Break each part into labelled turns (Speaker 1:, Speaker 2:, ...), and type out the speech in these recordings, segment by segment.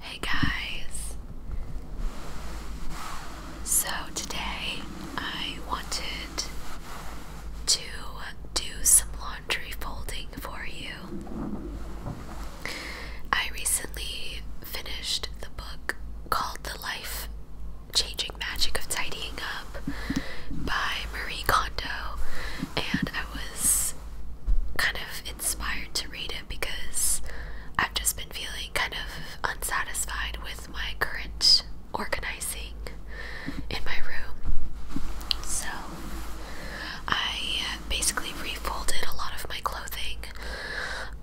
Speaker 1: Hey guys! So today I wanted to do some laundry folding for you. I recently finished the book called The Life Changing Magic of Tidying Up by Marie Kondo, and I was kind of inspired to read it because I've just been feeling kind of unsatisfied with my current organizing in my room. So I basically refolded a lot of my clothing,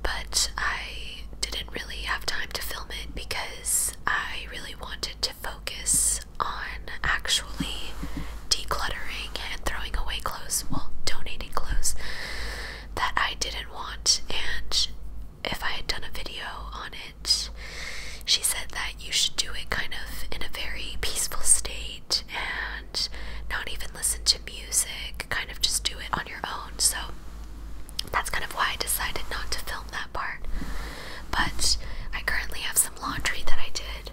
Speaker 1: but I didn't really have time to film it because I really wanted to focus on actually decluttering and throwing away clothes, well, donating clothes that I didn't want. And if I had done a video on it, she said that you should do it kind of in a very peaceful state and not even listen to music, kind of just do it on your own. So that's kind of why I decided not to film that part. But I currently have some laundry that I did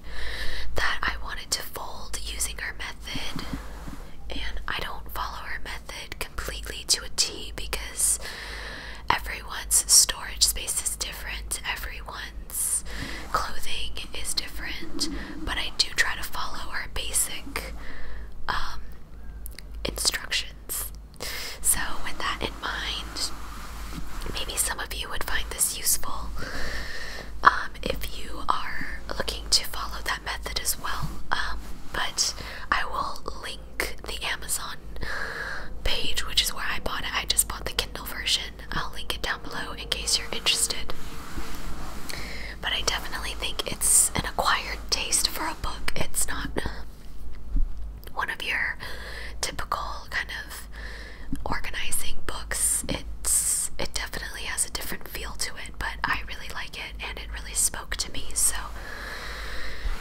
Speaker 1: that I wanted to fold using her method, and I don't follow her method completely to a T because everyone's storage space is different, everyone's clothing is different, but I do try to follow her basic um, instructions. So, with that in mind, maybe some of you would find this useful um, if you are looking to follow that method as well. Um, but I will link the Amazon page, which is where I bought it. I just bought the Kindle version. I'll link it down below in case you're interested. But I definitely think it's an acquired taste for a book. It's not one of your typical kind of organizing books. It's it definitely has a different feel to it, but I really like it and it really spoke to me. So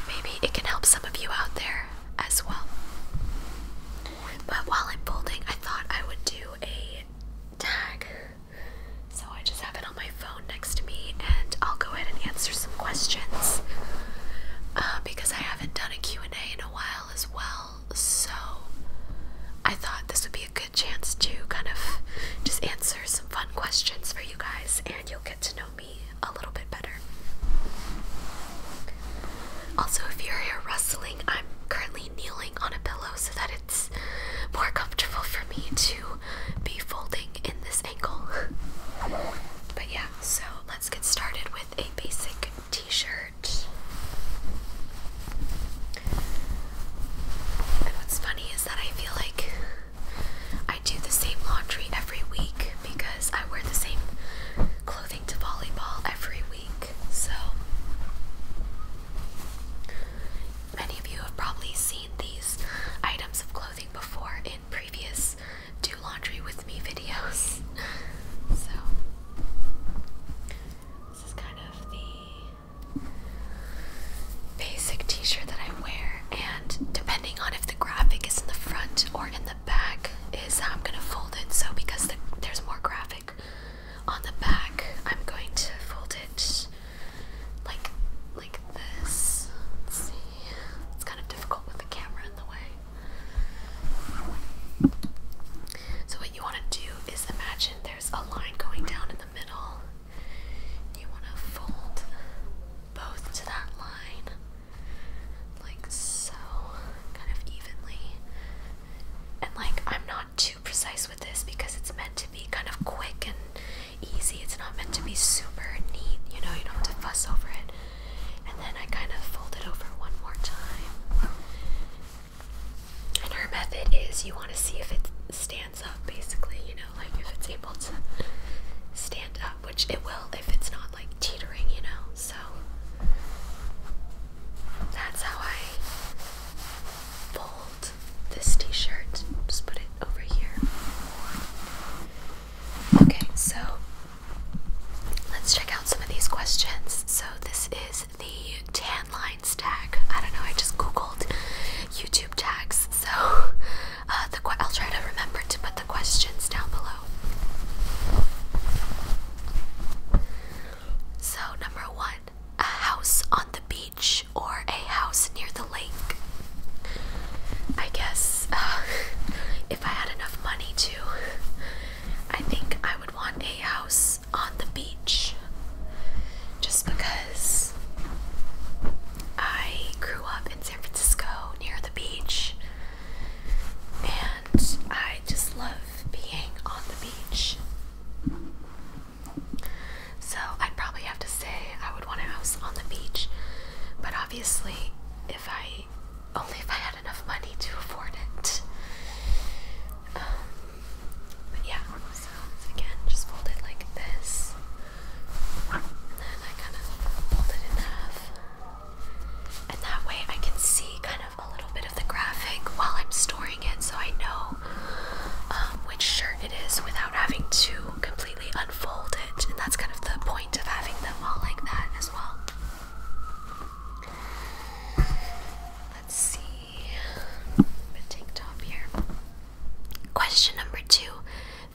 Speaker 1: maybe it can help some of you out there as well. But while I'm folding, I thought I would do a tag. So I just have it on my phone next to me and I'll go ahead and answer some questions. Uh, because I haven't done a and a in a while as well so I thought this would be a good chance to kind of just answer some fun questions for you guys, and you'll get to know me a little bit better. Also, if you are here rustling, I'm currently kneeling on a pillow so that it's more comfortable for me to be folding in this angle. but yeah, so let's get started with a basic t-shirt. And what's funny is that I feel like I do the same laundry every week because I wear the same clothing to volleyball every week. So many of you have probably seen these items of clothing before in previous do laundry with me videos. so this is kind of the basic t-shirt that I wear and depending on if the graphic is in the front or in the back is how I'm going to fold it. So because there's more graphic on the back, I'm going to fold it like like this. see. It's kind of difficult with the camera in the way. So what you want to do is imagine there's a line going down in the middle. You want to fold both to that line, like so, kind of evenly. And like, I'm not too precise with this because it's meant to be kind of quick and easy. It's not meant to be super neat, you know, you don't have to fuss over it. And then I kind of fold it over one more time. And her method is you want to see if it stands up, basically, you know, like if it's able to stand up, which it will if it's not like teetering, you know. So that's how I fold this t shirt. Just put it over here. Okay, so let's check out some of these questions. So, this is the tan line tag. I don't know, I just googled YouTube tags, so uh, I'll try to remember to put the questions down below. So, number one, a house on the beach or a house near the lake. I guess uh, if I had enough money to, I think I would want a house on the beach just because I grew up in San Francisco near the beach and I just love being on the beach. So I'd probably have to say I would want a house on the beach, but obviously, if I only if I had enough money to afford it. Um, but yeah, so again, just fold it like this. And then I kind of fold it in half. And that way I can see kind of a little bit of the graphic while I'm storing it so I know um, which shirt it is without having to completely unfold it. And that's kind of the point of having them all like that as well. Let's see. i top here. Question number two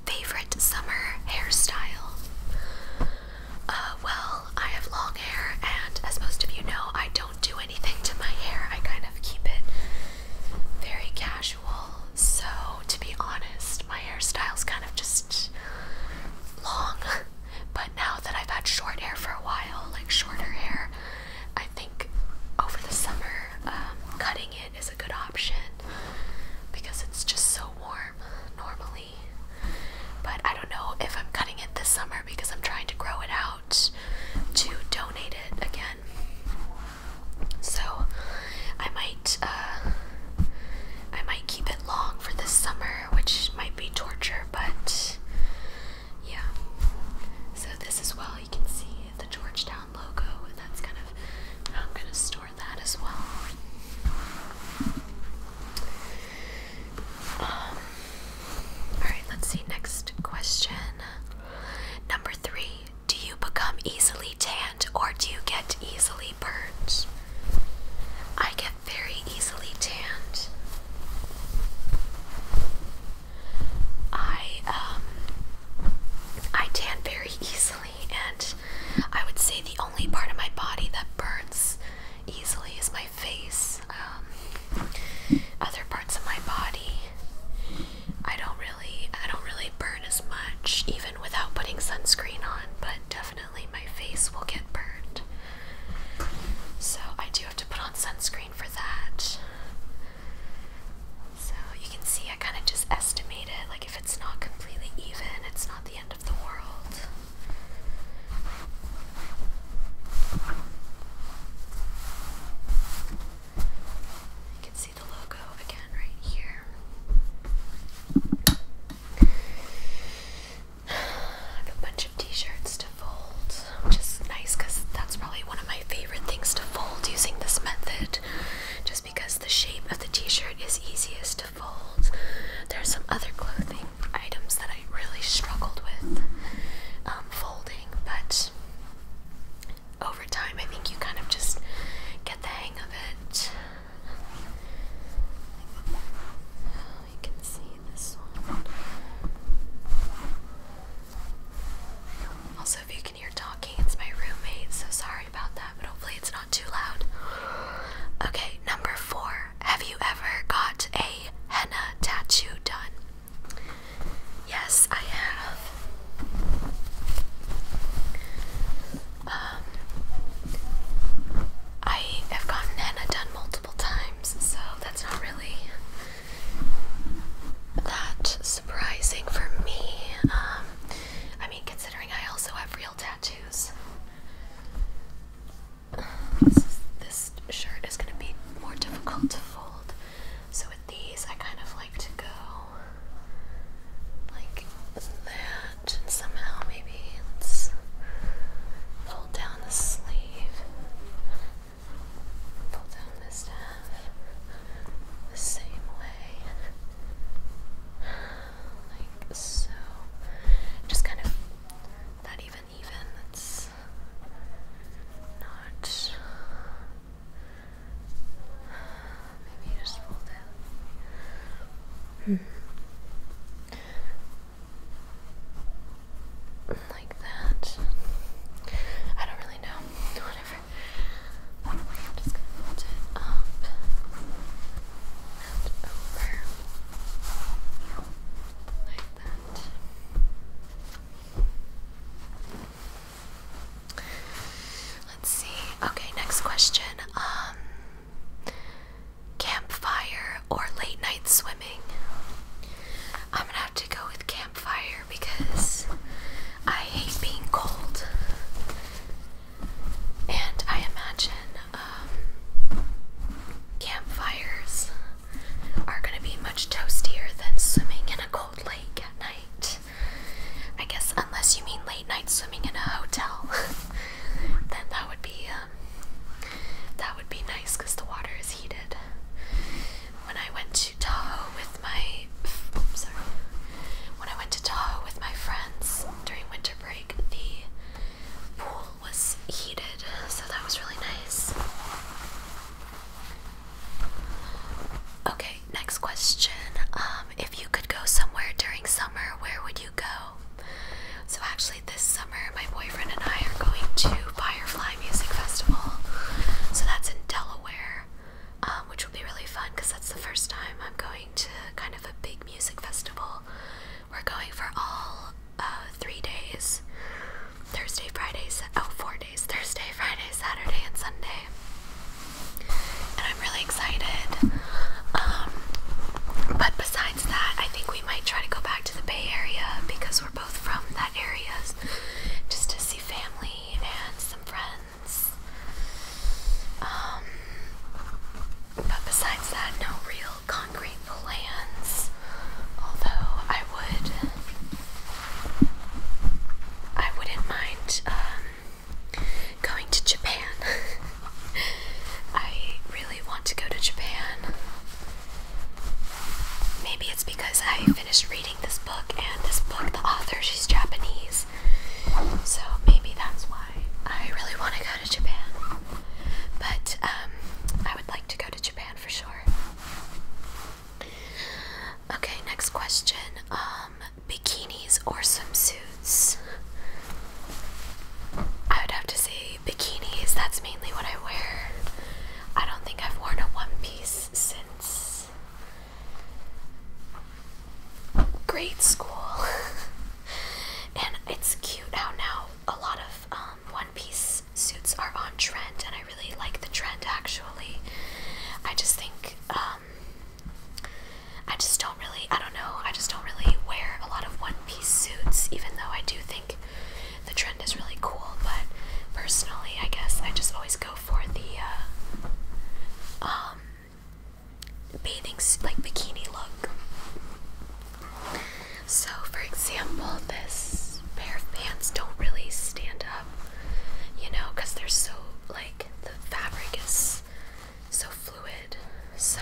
Speaker 1: Favorite summer hairstyle? Uh, well, I have long hair, and as most of you know, I don't do anything to my hair. I kind of keep it very casual. So, to be honest, my hairstyle's kind of just long. But now that I've had short hair for a while, like shorter hair, I think over the summer um, cutting it is a good option because it's just so warm normally. But I don't know if I'm cutting it this summer because I'm trying to grow it out to donate it again. So I might uh, I might keep it long for this summer, which might be torture, but yeah. So this as well, you can see the Georgetown logo, and that's kind of I'm gonna store that as well. Um, Alright, let's see. Next question. Number three Do you become easily tanned or do you get easily burnt? I get very easily tanned. I um I tan very easily and I would say the only part of my body that burns easily is my face. Um, other parts of my body I don't really I don't really burn as much even without putting sunscreen on, but definitely my face will get burned. So I do have to put on sunscreen for that. So you can see I kind of just estimate it. Like if it's not completely even, it's not the end of the world. You can see the logo again right here. I have a bunch of t-shirts to fold, which is nice because that's probably one of my favorite things to fold using this method, just because the shape of the t-shirt is easiest to fold. There are some other clothing items that I really struggled with um, folding, but over time I think you kind of just get the hang of it. Also, if you can hear talking, it's my roommate, so sorry about that, but hopefully it's not too loud. Okay, number four. Have you ever got a henna tattoo done? Yes, I have. Um, I have gotten henna done multiple times so that's not really that surprising for me. Um, I mean, considering I also have real tattoos. This, shirt is going to be more difficult to fold, so with these, I kind of like to go like that, and somehow maybe let's down the sleeve pull down the staff the same way, like so. Just kind of not even even. It's not. Maybe you just pull down. Hmm like that. I don't really know. Whatever. just going it up and over like that. Let's see. Okay, next question. Um campfire or late night swimming. I'm gonna have to go with campfire because I hate being cold. And I imagine um, campfires are gonna be much toastier than swimming in a cold lake at night. I guess, unless you mean late night swimming in a hotel, then that would be uh, that would be nice because the water is heated. When I went to Tahoe with my, sorry. When I went to Tahoe with my friends during winter break, the pool was heated, so that was really nice. Okay, next question. Um, if you could go somewhere during summer, where would you go. So, actually, this summer, my boyfriend and I are going to Firefly Music Festival. So, that's in Delaware, um, which will be really fun because that's the first time I'm going to kind of a big music festival. We're going for all uh, three days Thursday, Friday, oh, four days Thursday, Friday, Saturday, and Sunday. And I'm really excited. Um, but besides, that, I think we might try to go back to the Bay Area because we're both from that area just to see family and some friends. Um, but besides that, no real concrete plans. Although I would, I wouldn't mind um, going to Japan. I really want to go to Japan. Maybe it's because I finished reading this book and this book, the author, she's Japanese. So maybe that's why I really want to go to Japan. But um, I would like to go to Japan for sure. Okay, next question. Um, bikinis or swimsuits? I would have to say bikinis, that's mainly what I wear. I don't think I've worn a one piece since grade school. and it's cute out now a lot of um, one piece suits are on trend, and I really like the trend actually. I just think, um, I just don't really, I don't know, I just don't really wear a lot of one piece suits, even though I do think the trend is really cool, but personally, I guess I just always go for the uh, um, bathing like bikini look. So, for example, this pair of pants don't really stand up, you know, because they're so like the fabric is so fluid so,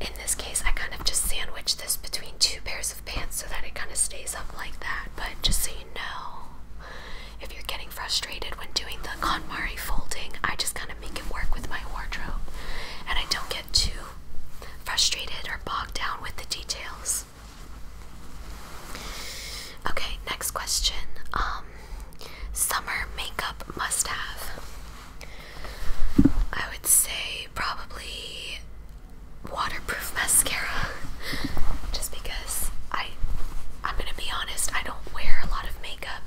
Speaker 1: in this case, I kind of just sandwich this between two pairs of pants so that it kind of stays up like that. But just so you know, if you're getting frustrated when doing the KonMari folding, I just kind of make it work with my wardrobe. And I don't get too frustrated or bogged down with the details. Okay, next question. Um, summer makeup must have. I would say probably waterproof mascara just because I I'm gonna be honest I don't wear a lot of makeup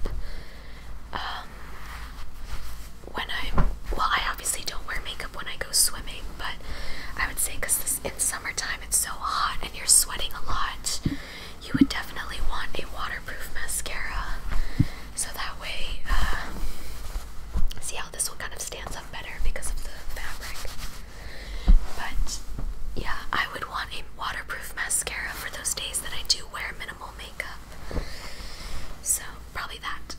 Speaker 1: um when I'm well I obviously don't wear makeup when I go swimming but I would say because in summertime it's so hot and you're sweating a lot you would definitely want a water waterproof mascara so that way uh, see how this one kind of stands up better because of the fabric but yeah I would want a waterproof mascara for those days that I do wear minimal makeup so probably that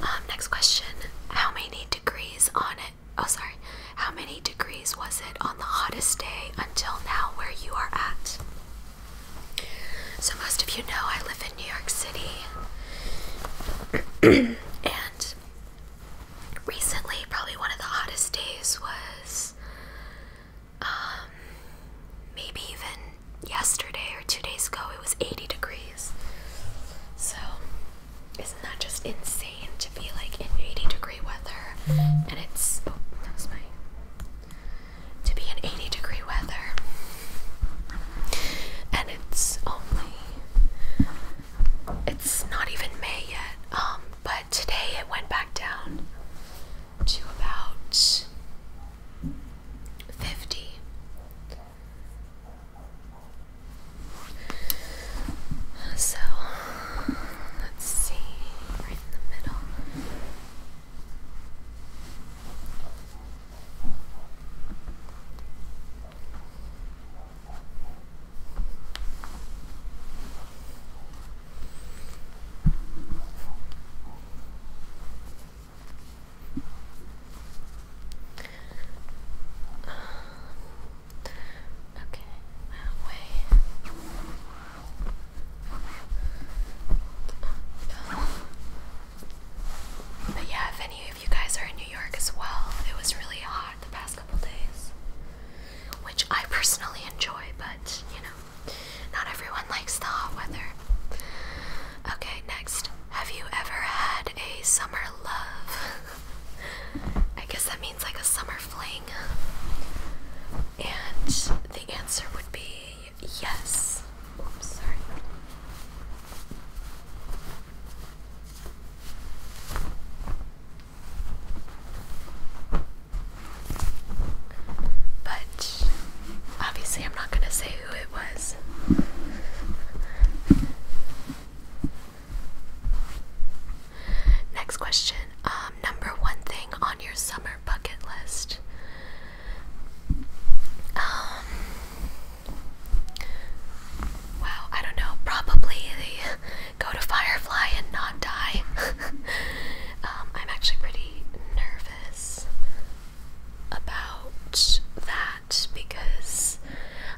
Speaker 1: um, next question how many degrees on it oh sorry how many degrees was it on the hottest day until now where you are at so, most of you know I live in New York City, and recently, probably one of the hottest days was um, maybe even yesterday or two days ago, it was 80 degrees. So, isn't that just insane to be like in 80 degree weather? And it's. Oh, that was my to be in 80 degree weather. And it's only it's not even May yet. Um, but today it went back down to about 50. So let's see, right in the middle. Okay, that way. But yeah, if any of you guys are in New York as well, it was really hot the past couple days, which I personally enjoy, but you know, not everyone likes the hot weather. Okay, next. Have you ever had a summer love? I guess that means like a summer fling. And the answer would be yes. Oops, sorry. But obviously, I'm not going to say who it was. Next question. Um, number one thing on your summer bucket list. Um, wow, I don't know. Probably the go to Firefly and not die. Um, I'm actually pretty nervous about that because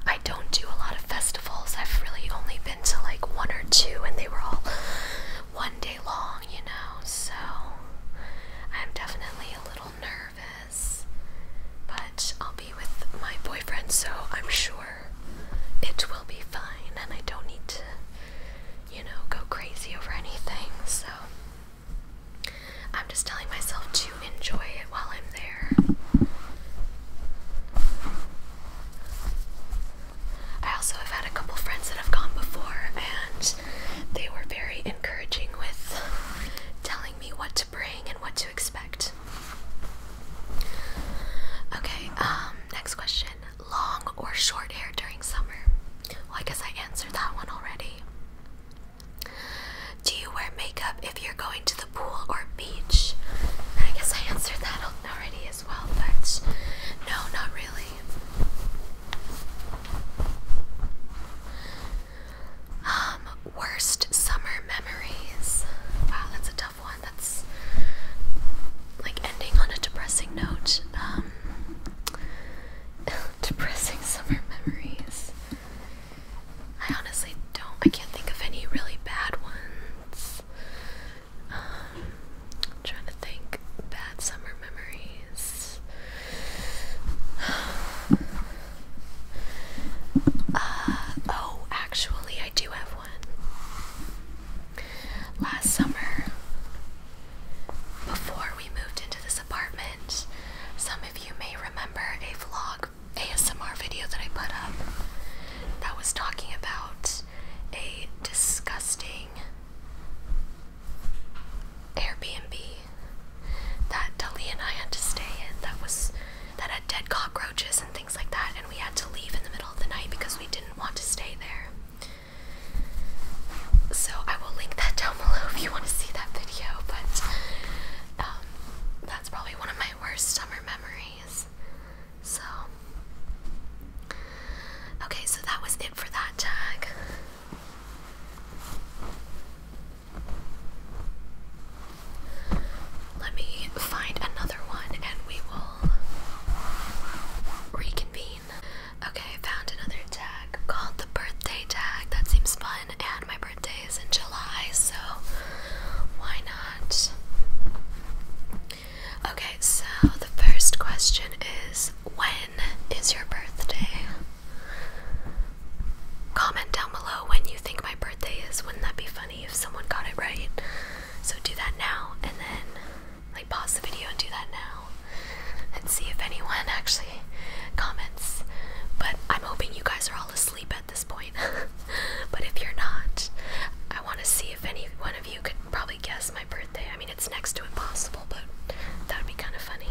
Speaker 1: I don't do a lot of festivals. I've really only been to like one or two, and they were all one day long, you know, so I'm definitely a little nervous. But I'll be with my boyfriend, so I'm sure it will be fine, and I don't need to, you know, go crazy over anything. So I'm just telling myself to enjoy it while I'm there. I also have had a couple friends that have gone before, and they were very encouraging with telling me what to bring and what to expect. Okay, um, next question. Long or short hair during summer? I guess I answered that one already. Do you wear makeup if you're going to the pool or beach? I guess I answered that already well, but no, not really. Um, worst summer memories. Wow, that's a tough one. That's like ending on a depressing note. Um, depressing summer memories. I honestly don't, I can't think of any really bad ones. Um, trying to think. Bad summer memories. Uh, oh, actually, I do have one. Last summer, before we moved into this apartment, some of you may remember a vlog ASMR video that I put up that was talking about a disgusting Airbnb that Dali and I had to stay in that was that had dead cockroaches and things like that and we had to leave in the middle of the night because we didn't want to stay there. So I will link that down below if you want to see that video, but um, that's probably one of my worst summer memories. So Okay, so that was it for that tag. Let me find another one and we will reconvene. Okay, found another tag called the birthday tag. That seems fun, and my birthday is in July, so why not? Okay, so the first question is when is your birthday? Comment down below when you think my birthday is. Wouldn't that be funny if someone got it right? So do that now and then like pause the video and do that now and see if anyone actually comments. But I'm hoping you guys are all asleep at this point. but if you're not, I want to see if any one of you could probably guess my birthday. I mean it's next to impossible, but that would be kind of funny.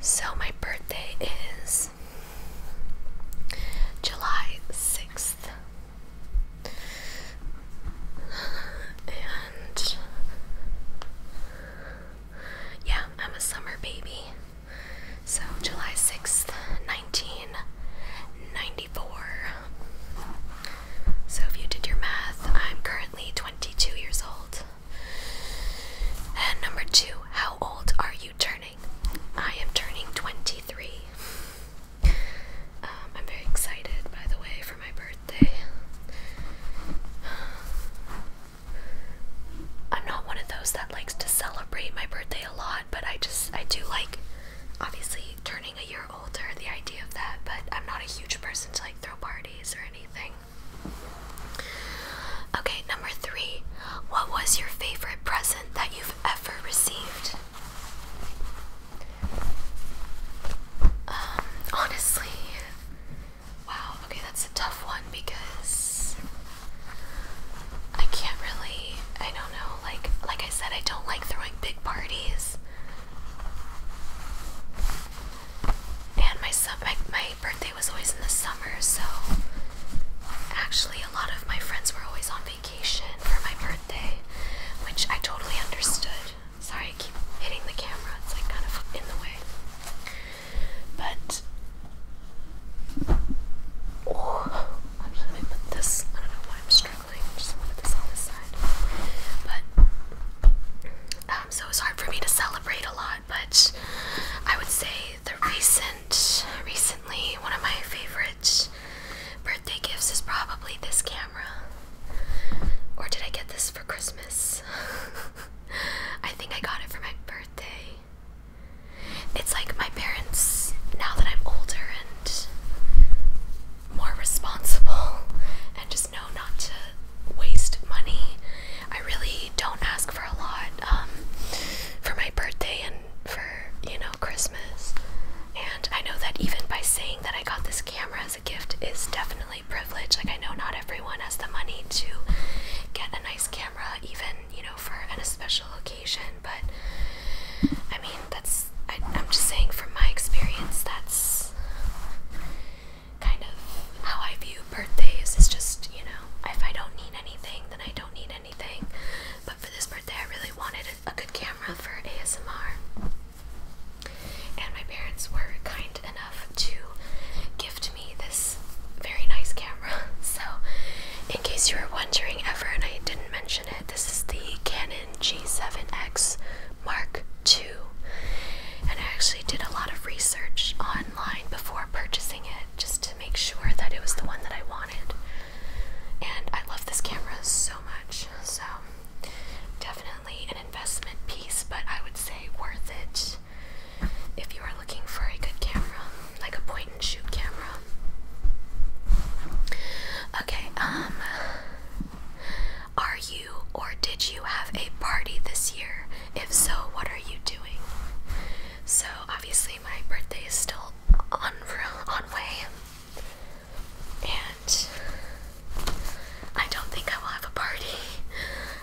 Speaker 1: So, my birthday is July 6th. And yeah, I'm a summer baby. So, July 6th, 1990. So, if you did your math, I'm currently 22 years old. And number two, how old are you turning? I am turning 23. Um, I'm very excited, by the way, for my birthday. I'm not one of those that likes to celebrate my birthday a lot, but I just, I do like, obviously, turning a year older, the idea of that, but I'm not a huge person to like throw parties or anything. Okay, number three. What was your favorite present that you've ever received? Um, honestly, wow, okay, that's a tough one because I can't really, I don't know, like, like I said, I don't like throwing big parties. And my, my my birthday was always in the summer, so actually a lot of my friends were always on vacation for my birthday, which I totally understood. Sorry, I keep hitting the camera. It's like kind of in the way. But oh, I'm gonna put this. I don't know why I'm struggling just put this on this side. But um, so it's hard for me to celebrate a lot. But I would say the recent, recently, one of my favorite birthday gifts is probably this camera. Or did I get this for Christmas? I think I got it for my birthday. It's like my parents, now that I'm older and more responsible and just know not to waste money. I really don't ask for a lot um, for my birthday and for, you know, Christmas. And I know that even by saying that I got this camera as a gift is definitely privilege. Like, I know not everyone has the money to get a nice camera, even, you know, for an especial occasion. But I mean, that's I, am just saying from my experience that's kind of how I view birthdays is just you know if I don't need anything then I don't need anything but for this birthday I really wanted a, a good camera for ASMR and my parents were kind enough to gift me this very nice camera so in case you were wondering ever and I didn't mention this is the Canon G7X Mark II. And I actually did a lot of research online before purchasing it just to make sure that it was the one that I wanted. And I love this camera so much. So, definitely an investment piece, but I would say worth it if you are looking for a good camera, like a point and shoot camera. Okay, um, are you or did you have a party this year? If so, what are you doing? So, obviously, my birthday is still on, way, and I don't think I will have a party.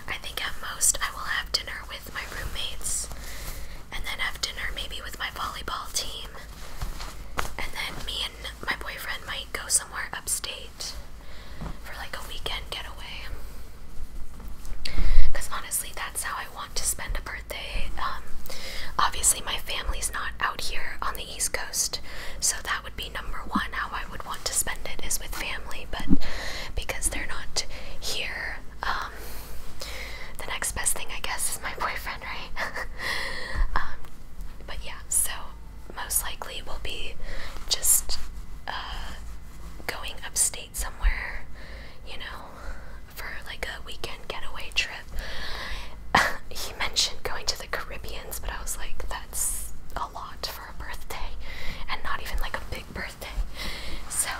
Speaker 1: I think at most I will have dinner with my roommates, and then have dinner maybe with my volleyball team, and then me and my boyfriend might go somewhere upstate for like a weekend getaway. Because honestly, that's how I want to spend a birthday. Um, obviously, my family's not out here on the East Coast, so that would be number one how I would want to spend it is with family, but because they're not here, um, the next best thing, I guess, is my boyfriend right? Um, but yeah, so most likely we'll be just uh, going upstate somewhere, you know, for like a weekend getaway trip. he mentioned going to the Caribbeans, but I was like, that's a lot for a birthday, and not even like a big birthday. So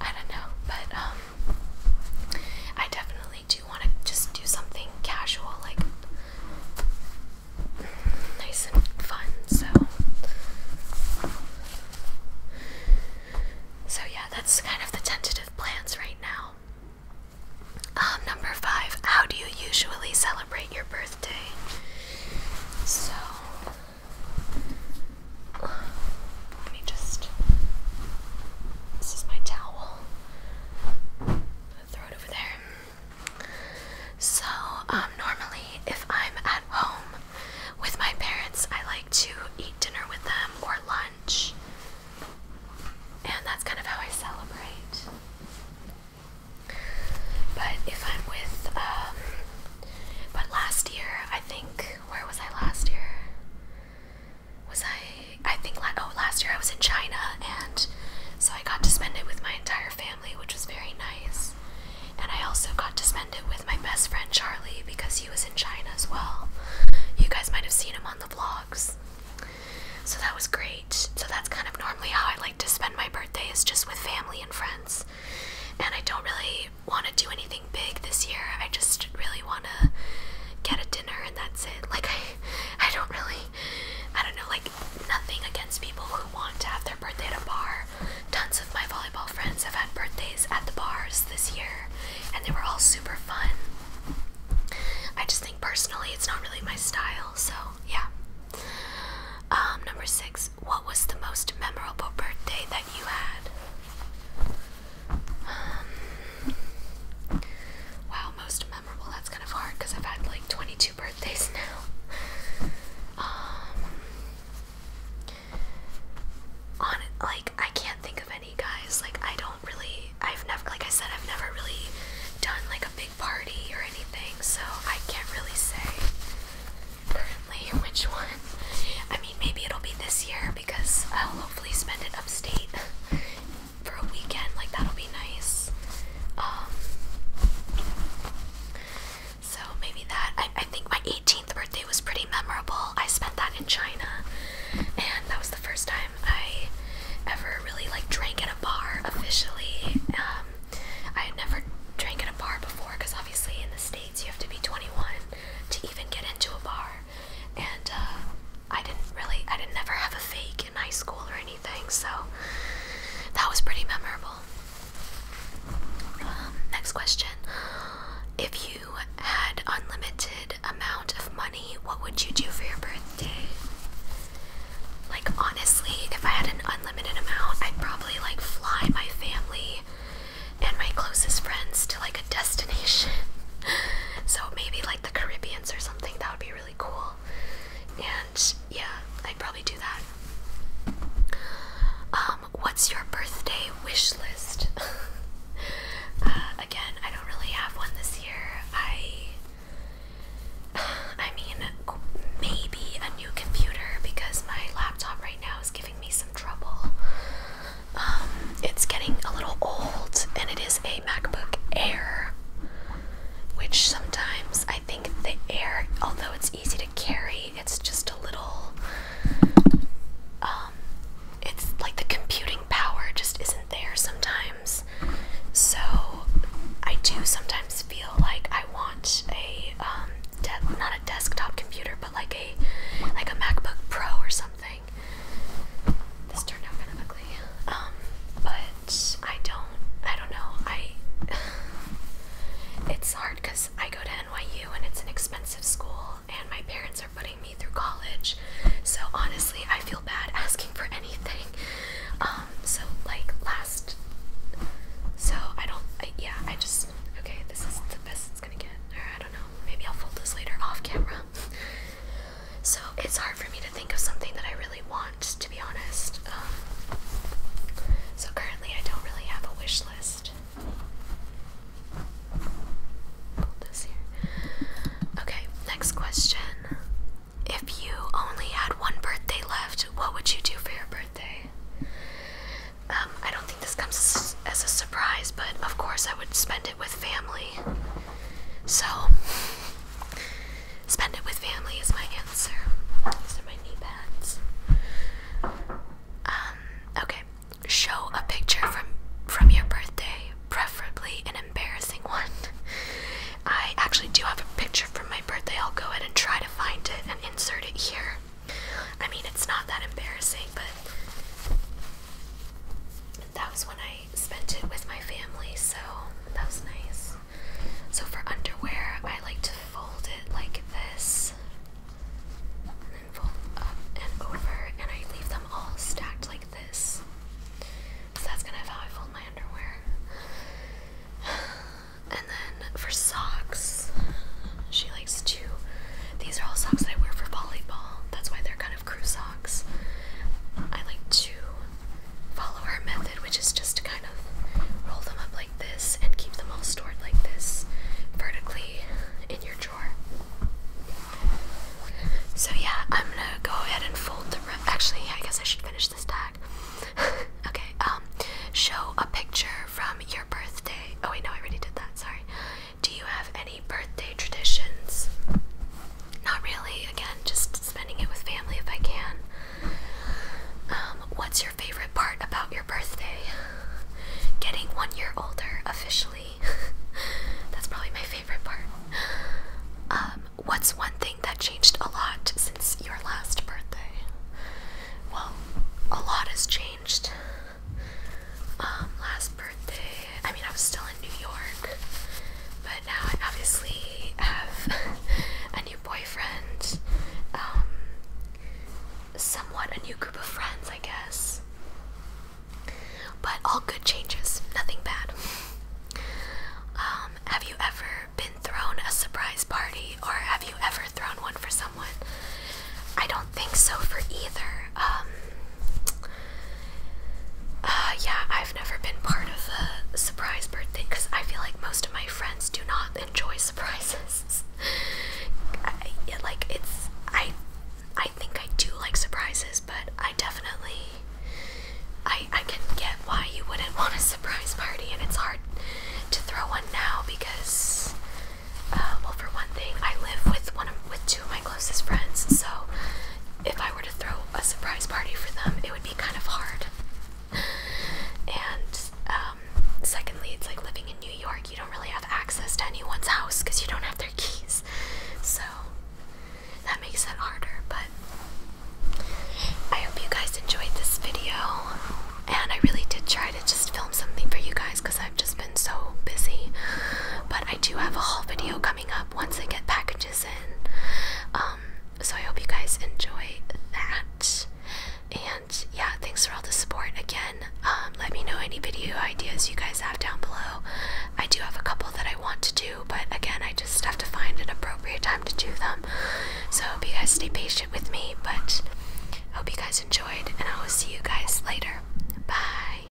Speaker 1: I don't know, but um, I definitely I do want to just do something casual, like nice and fun. So, so yeah, that's kind of the tentative plans right now. Um, number five, how do you usually celebrate your birthday? So, let me just. This is my towel. Throw it over there. So, um, normally, if I'm at home with my parents, I like to eat dinner with them or lunch. And that's kind of how I celebrate. But if I'm with, um, but last year, I think, where was I last year? was I? I think oh last year I was in China, and so I got to spend it with my entire family, which was very nice. And I also got to spend it with my best friend Charlie because he was in China as well. You guys might have seen him on the vlogs. So that was great. So that's kind of normally how I like to spend my birthday is just with family and friends. And I don't really want to do anything big this year. I just really want to get a dinner and that's it. Like I, I don't really, I don't know. Like nothing against people who want to have their birthday at a bar. Tons of my volleyball friends have had birthdays at the bars this year, and they were all super fun. I just think personally, it's not really my style. So yeah. Um, number six. What was the most memorable birthday that you had? Um, wow, most memorable. That's kind of hard because I've had like 22 birthdays now. Um, on like I can't think of any guys. Like I don't really. I've never, like I said, I've never really done like a big party or anything, so I can't really say currently which one. I mean, maybe it'll be this year because I'll hopefully spend it upstate for a weekend. Like that'll be nice. Um, so maybe that. I, I think my 18th birthday was pretty memorable. I spent that in China, and that was the first time I ever really like drank in a bar officially. Um, I had never drank in a bar before because obviously in the states you have to be 21 to even get into a bar, and uh, I didn't really, I didn't ever have a fake in high school or anything, so that was pretty memorable. Um, next question. If you had unlimited amount of money, what would you do for your birthday? Like honestly, if I had an unlimited amount, I'd probably like fly my family and my closest friends to like a destination. so maybe like the Caribbeans or something. That would be really cool. And yeah, I'd probably do that. Um, what's your birthday wish list? Uh, again, I don't really have one this year. I, I mean, maybe a new computer because my laptop right now is giving me some trouble. Um, it's getting a little old, and it is a MacBook Air, which sometimes I think the Air, although it's easy to carry, it's just a little. Um, it's like the computing power just isn't there sometimes. So I do sometimes feel like I want a um, not a desktop computer, but like a like a MacBook Pro or something. This turned out kind of ugly. Um, but I don't, I don't know. I, it's hard because I go to NYU and it's an expensive school, and my parents are putting me through college. So honestly, I feel bad asking for anything. Um, so like last, so I don't, I, yeah, I just, okay, this is the best it's gonna get. Or I don't know, maybe I'll fold this later off camera. So it's hard for me to think of something that I really want, to be honest. Um, so currently, I don't really have a wish list. Hold this here. Okay, next question. If you only had one birthday left, what would you do for your birthday? Um, I don't think this comes as a surprise, but of course I would spend it with family. So, spend it with family is my answer. These are my knee pads. Um, okay. Show a picture from from your birthday, preferably an embarrassing one. I actually do have a picture from my birthday. I'll go ahead and try to find it and insert it here. I mean, it's not that embarrassing, but that was when I I spent it with my family, so that was nice. So for underwear, I like to fold it like this, and then fold up and over, and I leave them all stacked like this. So that's kind of how I fold my underwear. And then for socks, she likes to. These are all socks that I wear for volleyball. That's why they're kind of crew socks. I like to follow her method, which is just to kind of roll them up like this and keep them all stored like this vertically in your drawer. So, yeah, I'm gonna go ahead and fold the. Actually, I guess I should finish this tag. okay, um, show a picture from your birthday. Oh, wait, no, I already did that, sorry. Do you have any birthday traditions? Not really. Again, just spending it with family if I can. Um, what's your favorite part about your birthday? Getting one year older officially. That's probably my favorite part. Um, what's one thing that changed a lot since your last birthday? Well, a lot has changed. Um, last birthday. I mean, I was still in New York, but now I obviously have a new boyfriend, um, somewhat a new group of friends, I guess. But all good changes, nothing bad. Um, have you ever been thrown a surprise party, or have you ever thrown one for someone? I don't think so for either. Uh, yeah, I've never been part of a surprise birthday because I feel like most of my friends do not enjoy surprises. I, like it's I, I think I do like surprises, but I definitely, I I can get why you wouldn't want a surprise party, and it's hard to throw one now because, uh, well, for one thing, I live with one with two of my closest friends, so if I were to throw a surprise party for them, it would be kind of hard. And um, secondly, it's like living in New York, you don't really have access to anyone's house because you don't have their keys. So that makes it harder, but I hope you guys enjoyed this video. And I really did try to just film something for you guys because I've just been so busy. But I do have a whole video up once I get packages in. Um, so I hope you guys enjoy that. And yeah, thanks for all the support again. Um, let me know any video ideas you guys have down below. I do have a couple that I want to do, but again, I just have to find an appropriate time to do them. So hope you guys stay patient with me, but hope you guys enjoyed, and I will see you guys later. Bye.